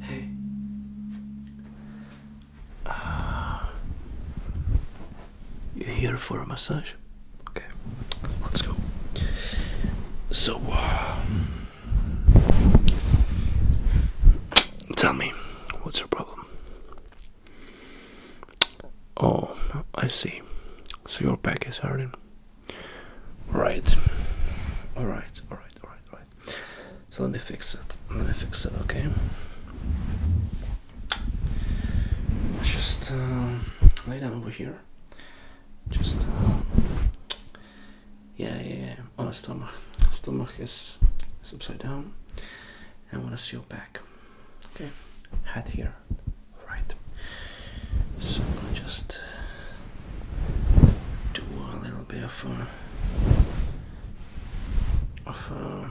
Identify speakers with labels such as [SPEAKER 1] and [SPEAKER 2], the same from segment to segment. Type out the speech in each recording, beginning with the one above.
[SPEAKER 1] Hey. Uh, you here for a massage? Okay, let's go. So, um, tell me, what's your problem? Oh, I see. So your back is hurting. Right. Alright, alright, alright, alright. So let me fix it. Let me fix it, okay? just uh, lay down over here. Just. Uh, yeah, yeah, On the stomach. Stomach is, upside down. I want to see your back. Okay. Head here. Alright. So just do a little bit of uh, of uh,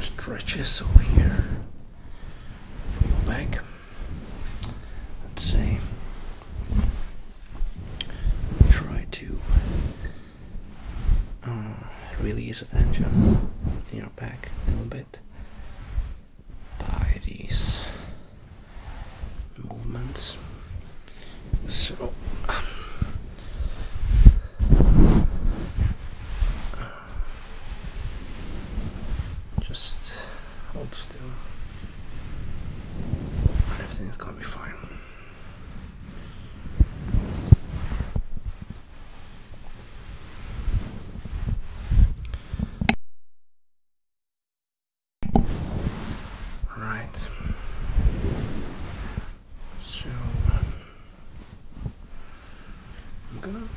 [SPEAKER 1] stretches over here for your back. Let's see. Try to uh, release the tension in your back a little bit by these movements. So um, just hold still. Everything's gonna be fine. Right. So I'm gonna I'm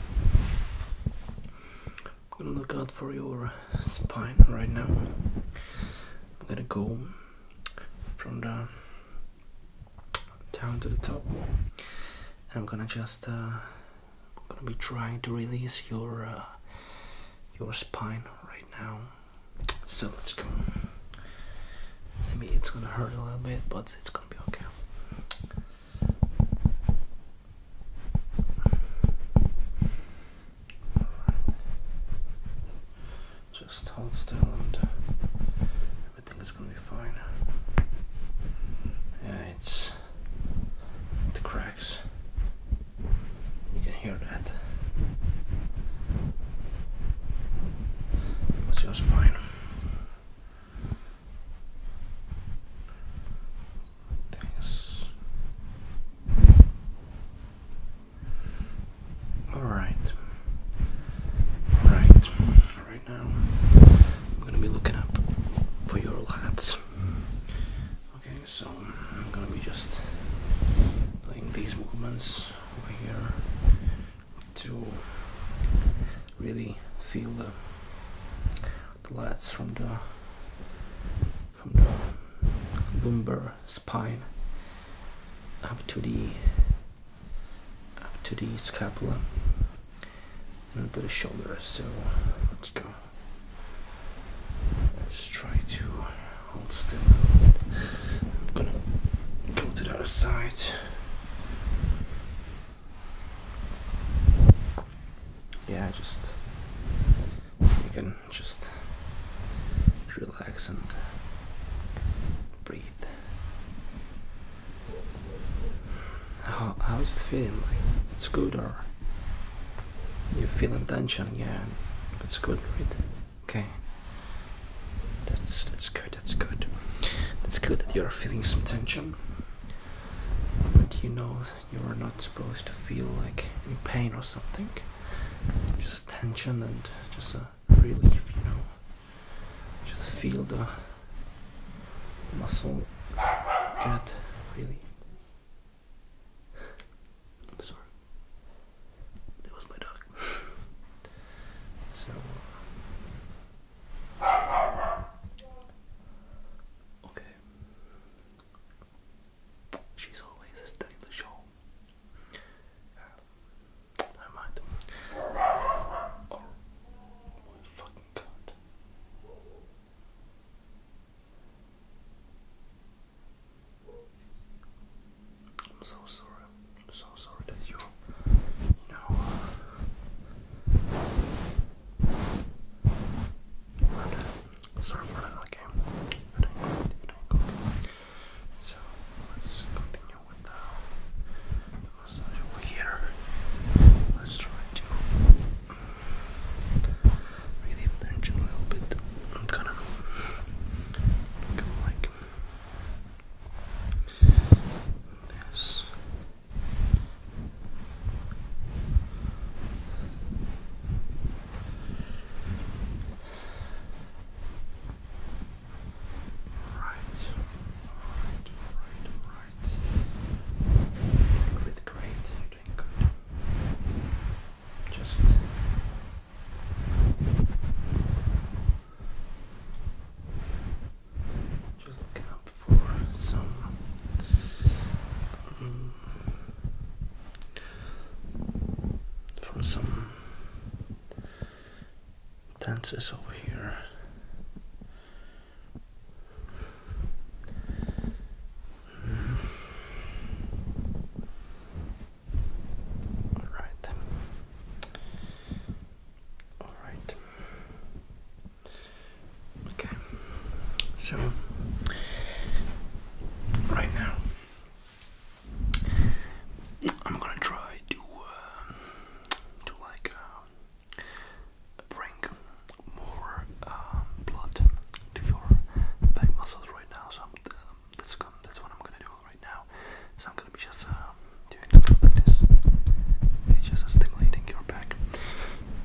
[SPEAKER 1] gonna look out for your spine right now. I'm gonna go from the down to the top. I'm gonna just uh, I'm gonna be trying to release your uh, your spine right now. So let's go. I mean, it's gonna hurt a little bit, but it's gonna be okay. Just hold still, and everything is gonna be fine. Yeah, it's the cracks. You can hear that. What's your spine? Thanks. All right. All right. Right now, I'm gonna be looking up for your lats. Okay, so I'm gonna be just doing these movements over here to really feel the, the lats from the from the lumbar spine up to the up to the scapula and to the shoulder. So let's go. Just try to hold still. I'm gonna go to the other side. Yeah, just you can just relax and breathe. How how's it feeling? Like it's good or you feel feeling tension, yeah. That's good, right? Okay. That's that's good. That's good. That's good that you're feeling some tension. But you know you are not supposed to feel like in pain or something. Just tension and just a relief, you know. Just feel the muscle get really I'm sorry. It was my dog. so. Uh, okay. She's always studying the show. Uh, never mind. Oh my fucking god. I'm so sorry. I'm so sorry that you, you know, Okay, So let's continue with the massage over here. Let's try to Bring the attention a little bit. I'm kind of like this. Right, right, right, right. With great just just looking up for some um, for some dances over here. All right. All right. Okay. So right now I'm gonna try to uh, to like uh, bring more um, blood to your back muscles right now. So I'm, um, that's, what I'm gonna do right now. So I'm gonna be just um, doing this. just stimulating your back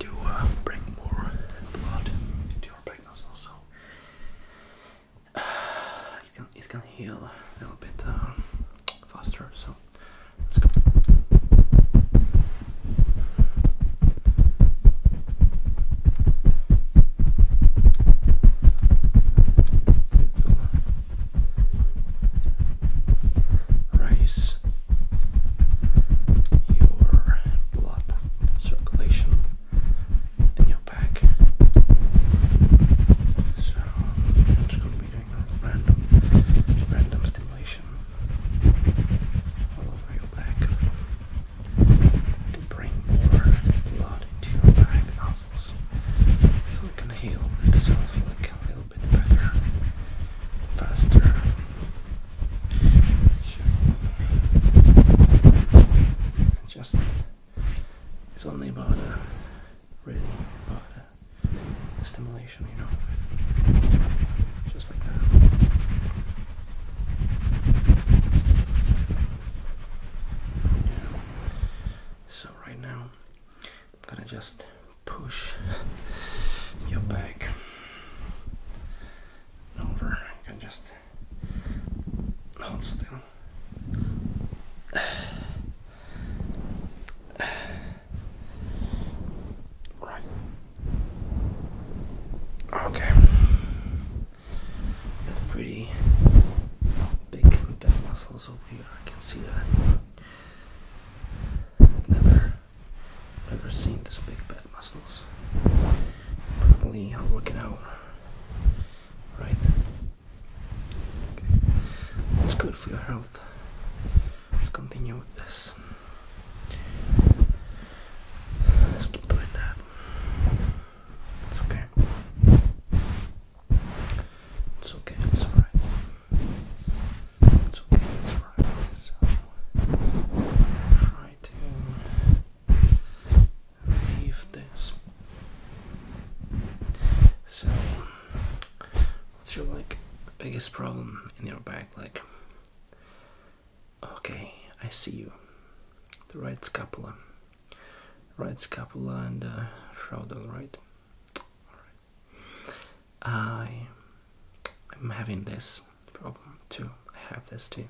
[SPEAKER 1] to uh, bring more blood into your back muscles. So it, can, heal a little bit um, faster. So let's go raise your blood circulation in your back. So I'm just going to be doing random, random stimulation all over your back to bring more blood into your back muscles so it can heal itself like a little bit better, faster. It's just, it's only about a, really about a stimulation, you know, just like that. So right now I'm gonna just push your back over. You can just hold still. Right. Okay. Got pretty big back muscles over here. I can see that. Never, never seen this big back muscles. Probably I'm uh, working out. Right. It's good for your health. Let's continue with this. Let's keep doing that. It's okay. It's okay, it's alright. It's okay, it's alright. So try to leave this. So what's your like the biggest problem in your back like Okay, I see you. The right scapula, right scapula and uh, shoulder, right. All right. I am having this problem too. I have this too.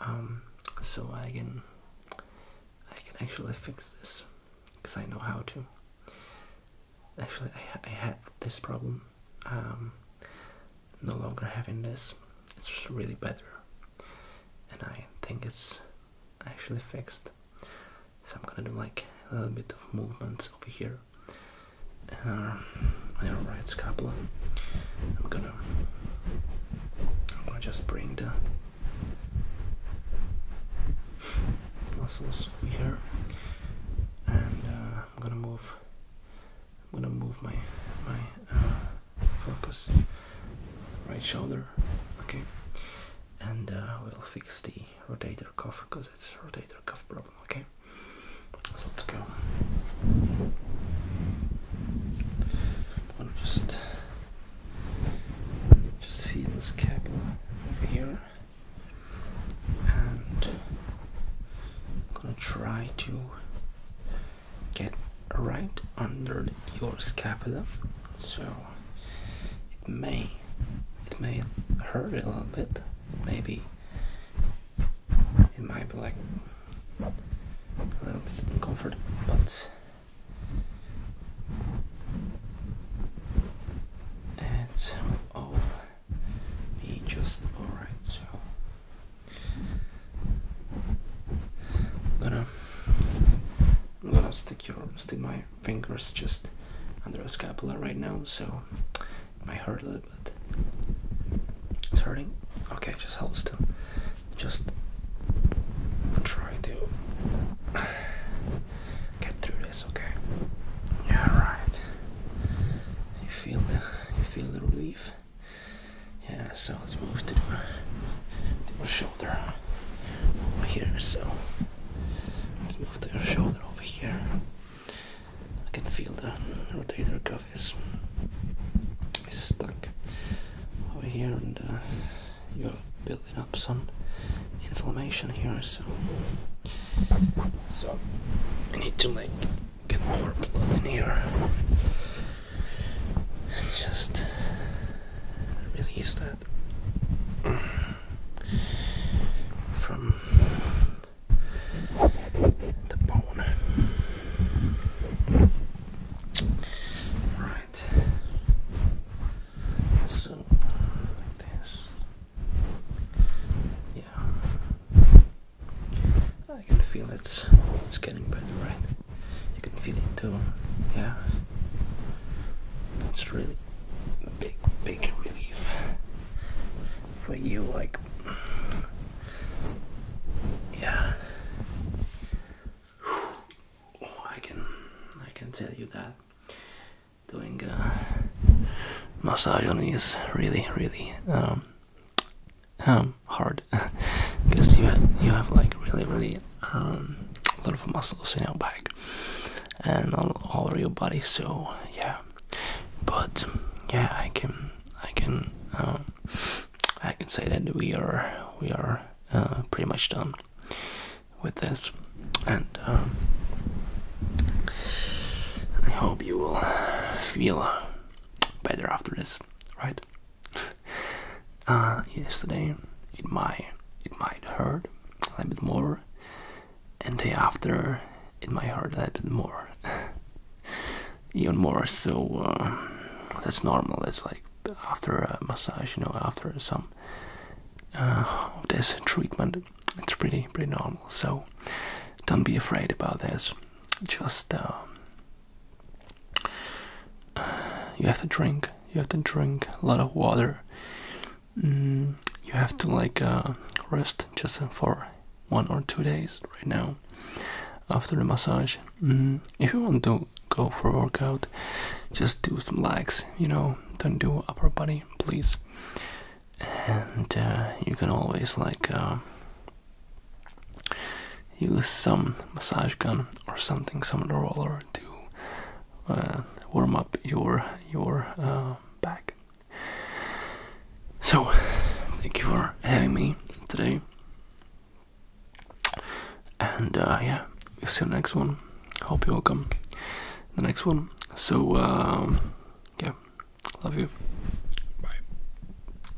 [SPEAKER 1] Um, so I can I can actually fix this because I know how to. Actually, I, had this problem. Um, no longer having this it's really better and I think it's actually fixed so I'm gonna do like a little bit of movements over here uh, right scapula I'm gonna I'm gonna just bring the muscles over here and uh, I'm gonna move I'm gonna move my my uh, focus right shoulder, okay, and uh, we'll fix the rotator cuff because it's rotator cuff problem, okay. So let's go. I'm just just feel this scapula here, and I'm gonna try to get right under your scapula so it may it may hurt a little bit maybe it might be like a little bit uncomfortable but it's all be just alright I'm gonna I'm gonna stick your stick my fingers just under the scapula right now, so it might hurt a little bit. It's hurting. Okay, just hold still. Just try to get through this. Okay. Yeah, right. You feel the you feel the relief. Yeah, so let's move to the, shoulder over here. So let's move to your shoulder over here. I can feel the rotator cuff is, stuck over here, and uh, you're building up some inflammation here. So, I need to like get more blood in here just release that from the bone. Right. So this. Yeah. I can feel it's it's getting better, right? You can feel it too, yeah. It's really big, big relief for you, like, yeah. Oh, I can, I can tell you that doing massage on me is really, really um, um, hard because you have, you have like really really um, a lot of muscles in your back and all, all over your body. So yeah, but yeah, I can I can um, I can say that we are we are uh, pretty much done with this, and um, I hope you will feel better after this, right? Uh, yesterday it might it might hurt a little bit more, and day after it might hurt a little bit more, even more. So uh, that's normal. It's like after a massage, you know, after some uh, of this treatment, it's pretty pretty normal. So don't be afraid about this. Just um, uh, you have to drink you have to drink a lot of water mm, you have to like uh, rest just for one or two days right now after the massage mm, if you want to go for a workout just do some legs you know don't do upper body please and uh, you can always like Use some massage gun or something, some roller to uh, warm up your your uh, back. So, thank you for having me today, and uh, yeah, see you next one. Hope you all come the next one. So, um, yeah, love you. Bye.